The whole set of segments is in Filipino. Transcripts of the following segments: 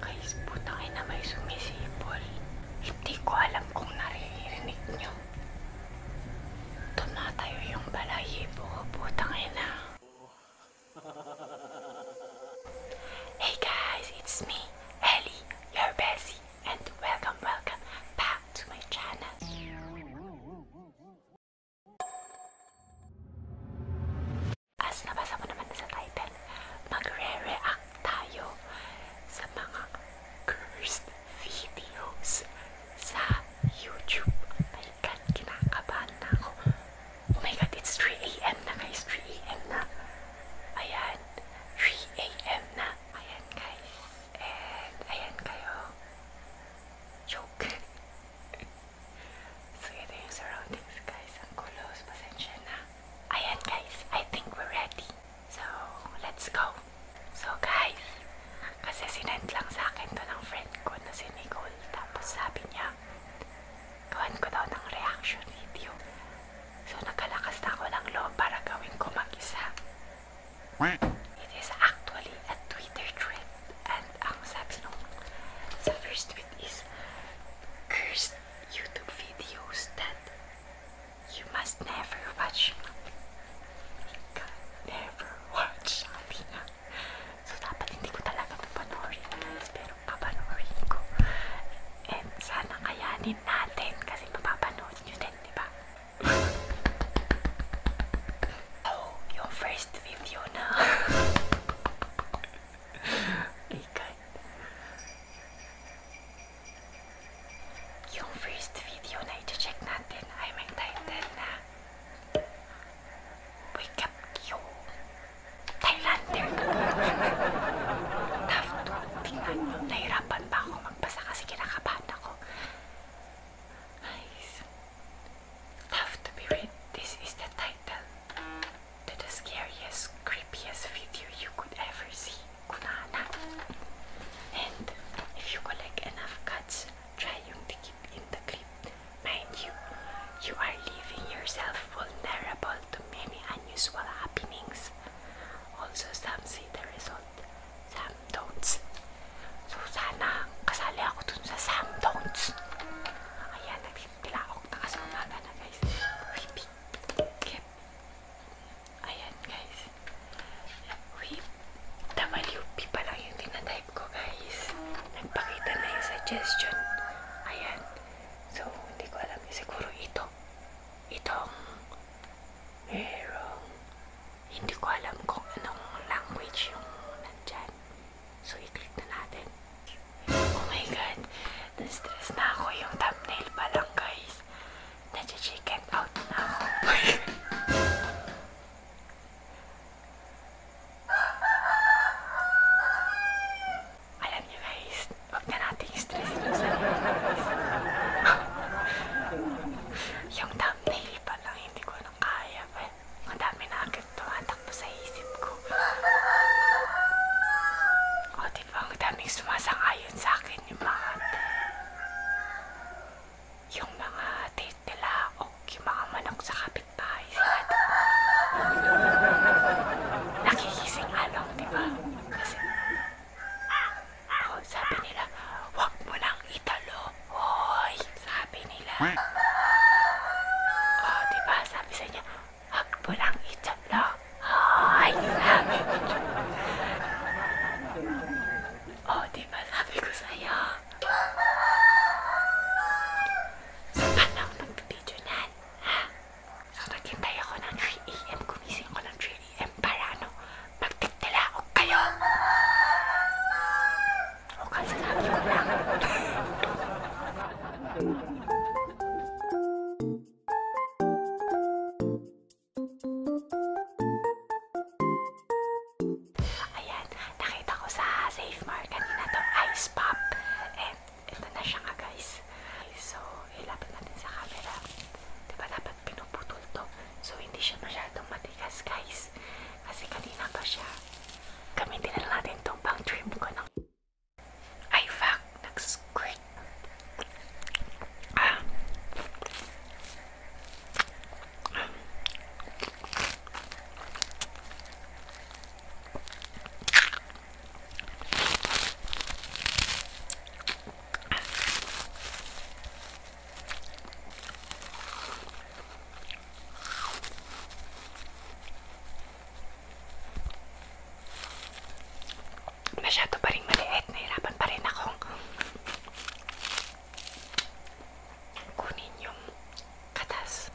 Guys, putangin na may sumisipol. Hindi ko alam kung naririnig nyo. Tumatayo yung balahibo ko, putangin na. Hey guys, it's me, Ellie, You're Bessie, and welcome, welcome back to my channel. As nabasa mo naman sa title, magre-react sa mga cursed videos sa YouTube. My God, kinakabahan na ako. Oh my god, it's 3am na guys. 3am na. Ayan. 3am na. Ayan guys. And ayan kayo. Joke. so ito yung surroundings guys. Ang kulos. Pasensya na. Ayan guys. I think we're ready. So, let's go. So guys, kasi sinend lang sa akin to ng friend ko na si Nicole. Tapos sabi niya, gawin ko daw ng reaction video. So, nagkalakas na ako ng loob para gawin ko mag-isa. It is actually a Twitter trend. And ang sabi nung sa first tweet is, Cursed YouTube videos that you must never watch. Never watch. Sabi nga. So, dapat hindi ko talaga ito panoorin. Pero, papanorin ko. And sana kayanin natin kasi mapapanood nyo din, di ba? oh, your first video na. My God. Yung first video na iti-check natin ay may title na Wake Up Q Thailander. Tough Tough to be read. This is the title to the scariest, creepiest video you could ever see. Kunana. And if you collect enough cuts, try to keep in the clip. Mind you, you are leaving yourself vulnerable result to many unusual happenings. Also, some see the result, some don't. So, sana kasali ako dun sa some don'ts. Ayan, nagtitilaok na kasi umaga na guys. Repeat. Ayan guys. Whip. WP pa lang yung tinatype ko guys. Nagpakita na yung suggestion. Ayan. So, hindi ko alam. Siguro ito. itong merong hindi ko alam kung anong language yung nandyan. So, i-click na natin. Oh my God! Na-stress na ako yung thumbnail pa lang, guys. Nachi-chicken out na ako. Alam niyo guys, huwag na natin stressin yung sarili guys. yung thumbnail pa lang, hindi ko nang kaya. Well, madami na agad tumatakbo sa isip ko. O oh, diba, ang daming sumasangayon sa akin yung mga yung mga date nila o yung mga manok sa kapitbahay sila. Diba? Nakikising along, diba? Kasi, oh, sabi nila, huwag mo lang italo. Hoy, sabi nila. Oh, diba? Sabi sa inyo, huwag mo lang italo. Hoy, sabi nila. Oh, diba? Sabi ko sa iyo. So, paano ako mag-video niyan? Ha? Nakakita ako ng 3am, gumising ko ng 3am para ano, magtigtalaog kayo. O kasi sabi ko lang. Ayan, nakita ko sa Safe Mart kanina itong ice pop. And eh, Ito na siya nga guys. So, ilapit natin sa camera. Diba dapat pinuputol to? So, hindi siya masyadong matigas guys. Kasi kanina pa siya. Gamitin na natin itong pang trim ko ng... Ay, fuck! Nag-squirt! Ah. Ah. Masyado pa rin maliit. Nahirapan pa rin akong kunin yung katas.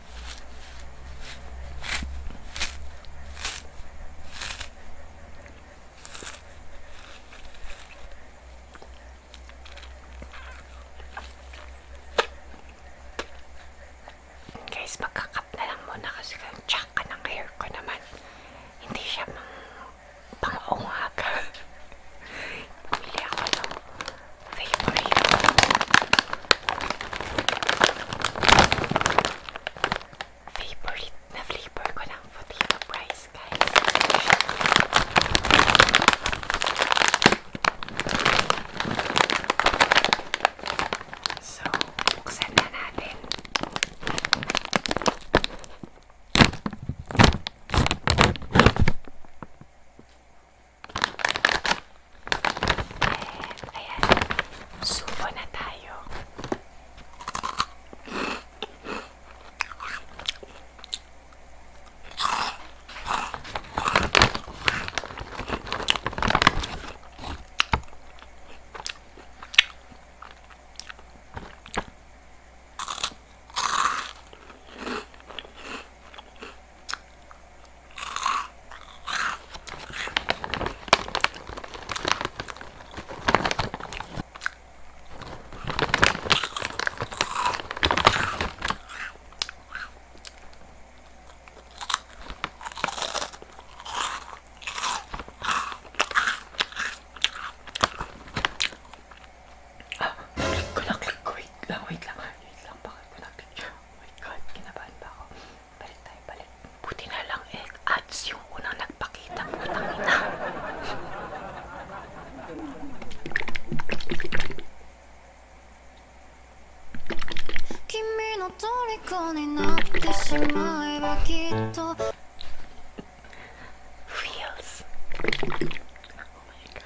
Guys, magkakap na lang muna kasi tsaka ng hair ko naman. Hindi siya mang pang-ungaga. Pili ako ng favorite. Favorite na flavor ko ng Fatima Price, guys. So, buksan na natin. Eh, ayan. Subo na tayo. Ah, click ko na, click ko. Ah, wait lang, wait lang. Wait lang, bakit ko na-click? Oh my God, kinabahan ba ako? Balik tayo, balik. Buti na lang eh, ads yung unang nagpakita. Putang ina. Feels. Oh my god.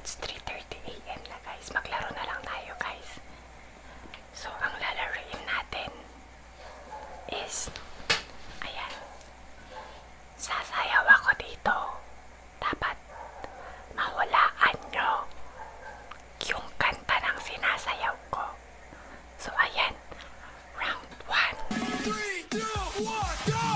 It's 3.30 a.m. na guys. Maglaro na lang tayo guys. So, ang lalaroin natin is ayan. Sasayaw ako dito. dapat mahulaan nyo yung kanta ng sinasayaw ko. So, ayan. Round 1. 3, 2, 1, go!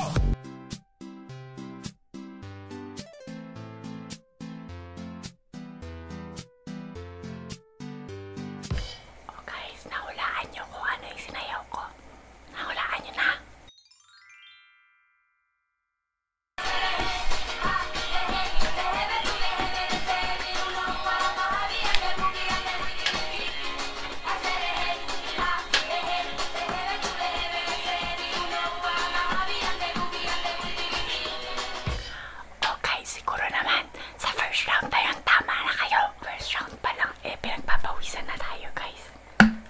Oh guys, nahulaan nyo kung ano yung sinayaw ko. Nahulaan nyo na. Okay, siguro naman sa first round tayong tama na kayo. First round pa lang eh pinagpapawisan na tayo guys.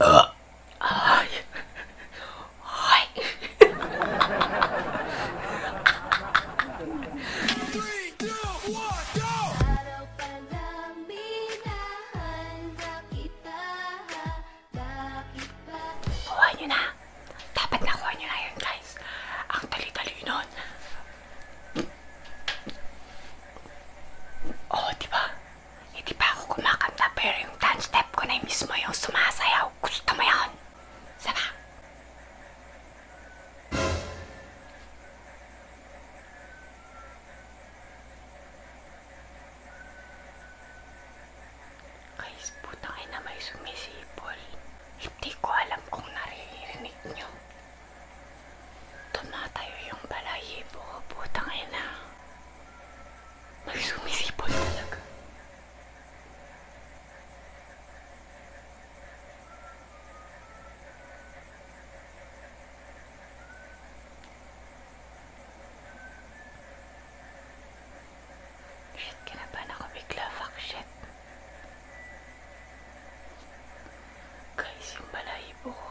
Uh. Ay. Ay. Three, two, one, go! Kuha nyo na. Dapat nakuha nyo na yun, guys. Ang tali-tali nun. Oh, di ba? Hindi pa ako kumakanta pero yung dance step ko na yung mismo yung sumasayaw. Gusto mo yun? Saba? Guys, puta kayo na may sumisipol. Hindi ko alam kung naririnig nyo. Tumatayo yung balahibo ko. Puta kayo na. May sumisipol talaga. Shit, kinabahan ako bigla. Fuck shit. Guys, yung balahibo ko.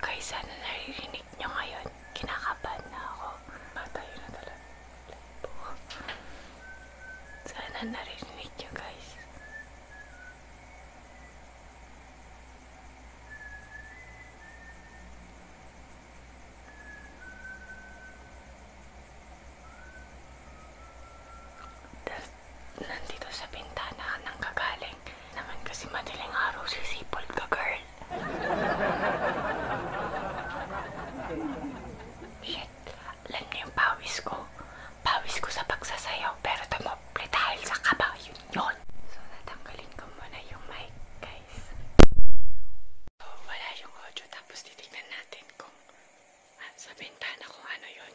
Guys, sana naririnig nyo ngayon. Kinakabahan na ako. Matayo na talaga. Sana naririnig nyo guys. nandito sa bintana ka nang kagaling. Naman kasi madaling araw sisipol ka, girl. Shit. Alam niyo yung pawis ko. Pawis ko sa pagsasayaw pero tumople dahil sa kaba. Yun yun. So, natanggalin ko muna yung mic, guys. So, wala yung audio tapos titignan natin kung ah, sa bintana kung ano yun.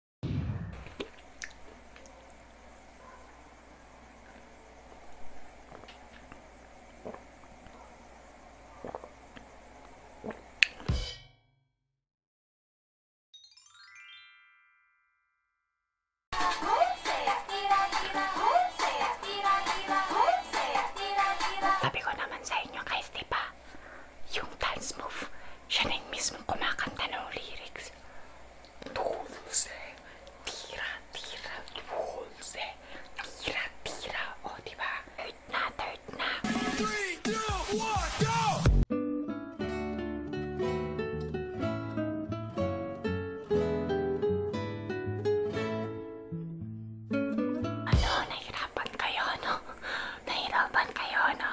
Sabi ko naman sa inyo guys, di ba? Yung dance move, siya na yung mismo kumakanta ng lyrics. 12 tira tira 12 tira tira o oh, diba täyt nää täyt nää Ano nahirapan kayo no? Nahirapan kayo no?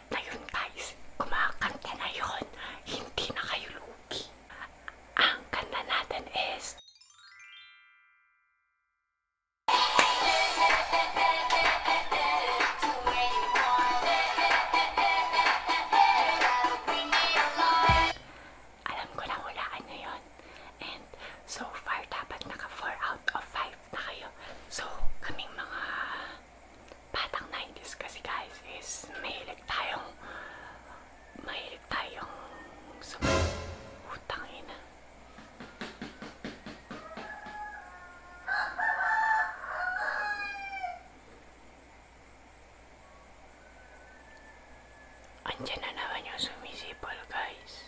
step na yun guys. Kumakanta na yun. Hindi na kayo lugi. Ang kanta natin is... Alam ko na hulaan na yun. And so far, dapat naka 4 out of 5 na kayo. So, kaming mga batang 90s kasi guys is mahilig tayong mahilig tayong utang ina eh, andyan na naman yung sumisipol guys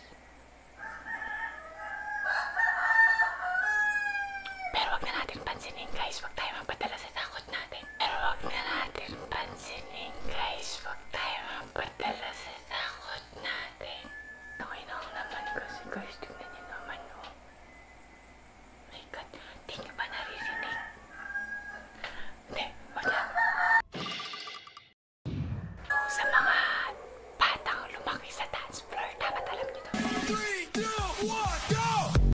pero wag na natin pansinin guys wag tayo mapadala pero sa takot natin. Pero huwag na natin pansinin guys. Huwag tayo mapadala sa takot natin. Okay na ang laman kasi guys. Tignan niyo naman oh. My God. Di niyo ba naririnig? Hindi. Huwag na. Sa mga batang lumaki sa dance floor, dapat alam niyo to. 3, 2, 1, go!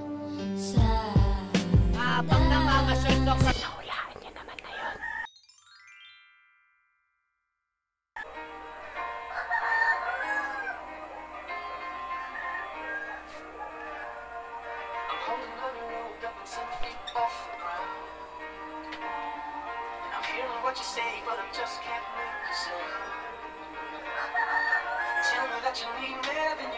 I'm holding on a road off the ground. And I'm hearing what you say, but I just can't make you say. Tell me that you need me,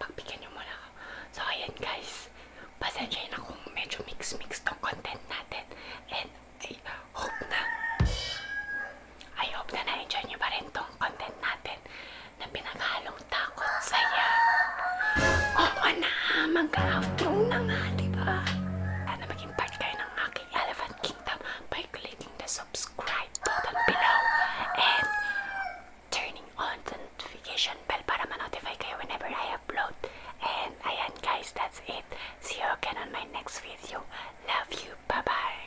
pagbigyan nyo muna ako. So, ayan guys. Pasensya na kung medyo mix-mix tong content natin. And I hope na I hope na na-enjoy nyo pa rin tong content natin na pinaghalong takot saya. Oo na, mag-outro na nga, diba? Sana maging part kayo ng aking Elephant Kingdom by clicking the subscribe button below. And turning on notification bell para ma-notify kayo whenever I upload. And ayan guys, that's it. See you again on my next video. Love you. Bye-bye.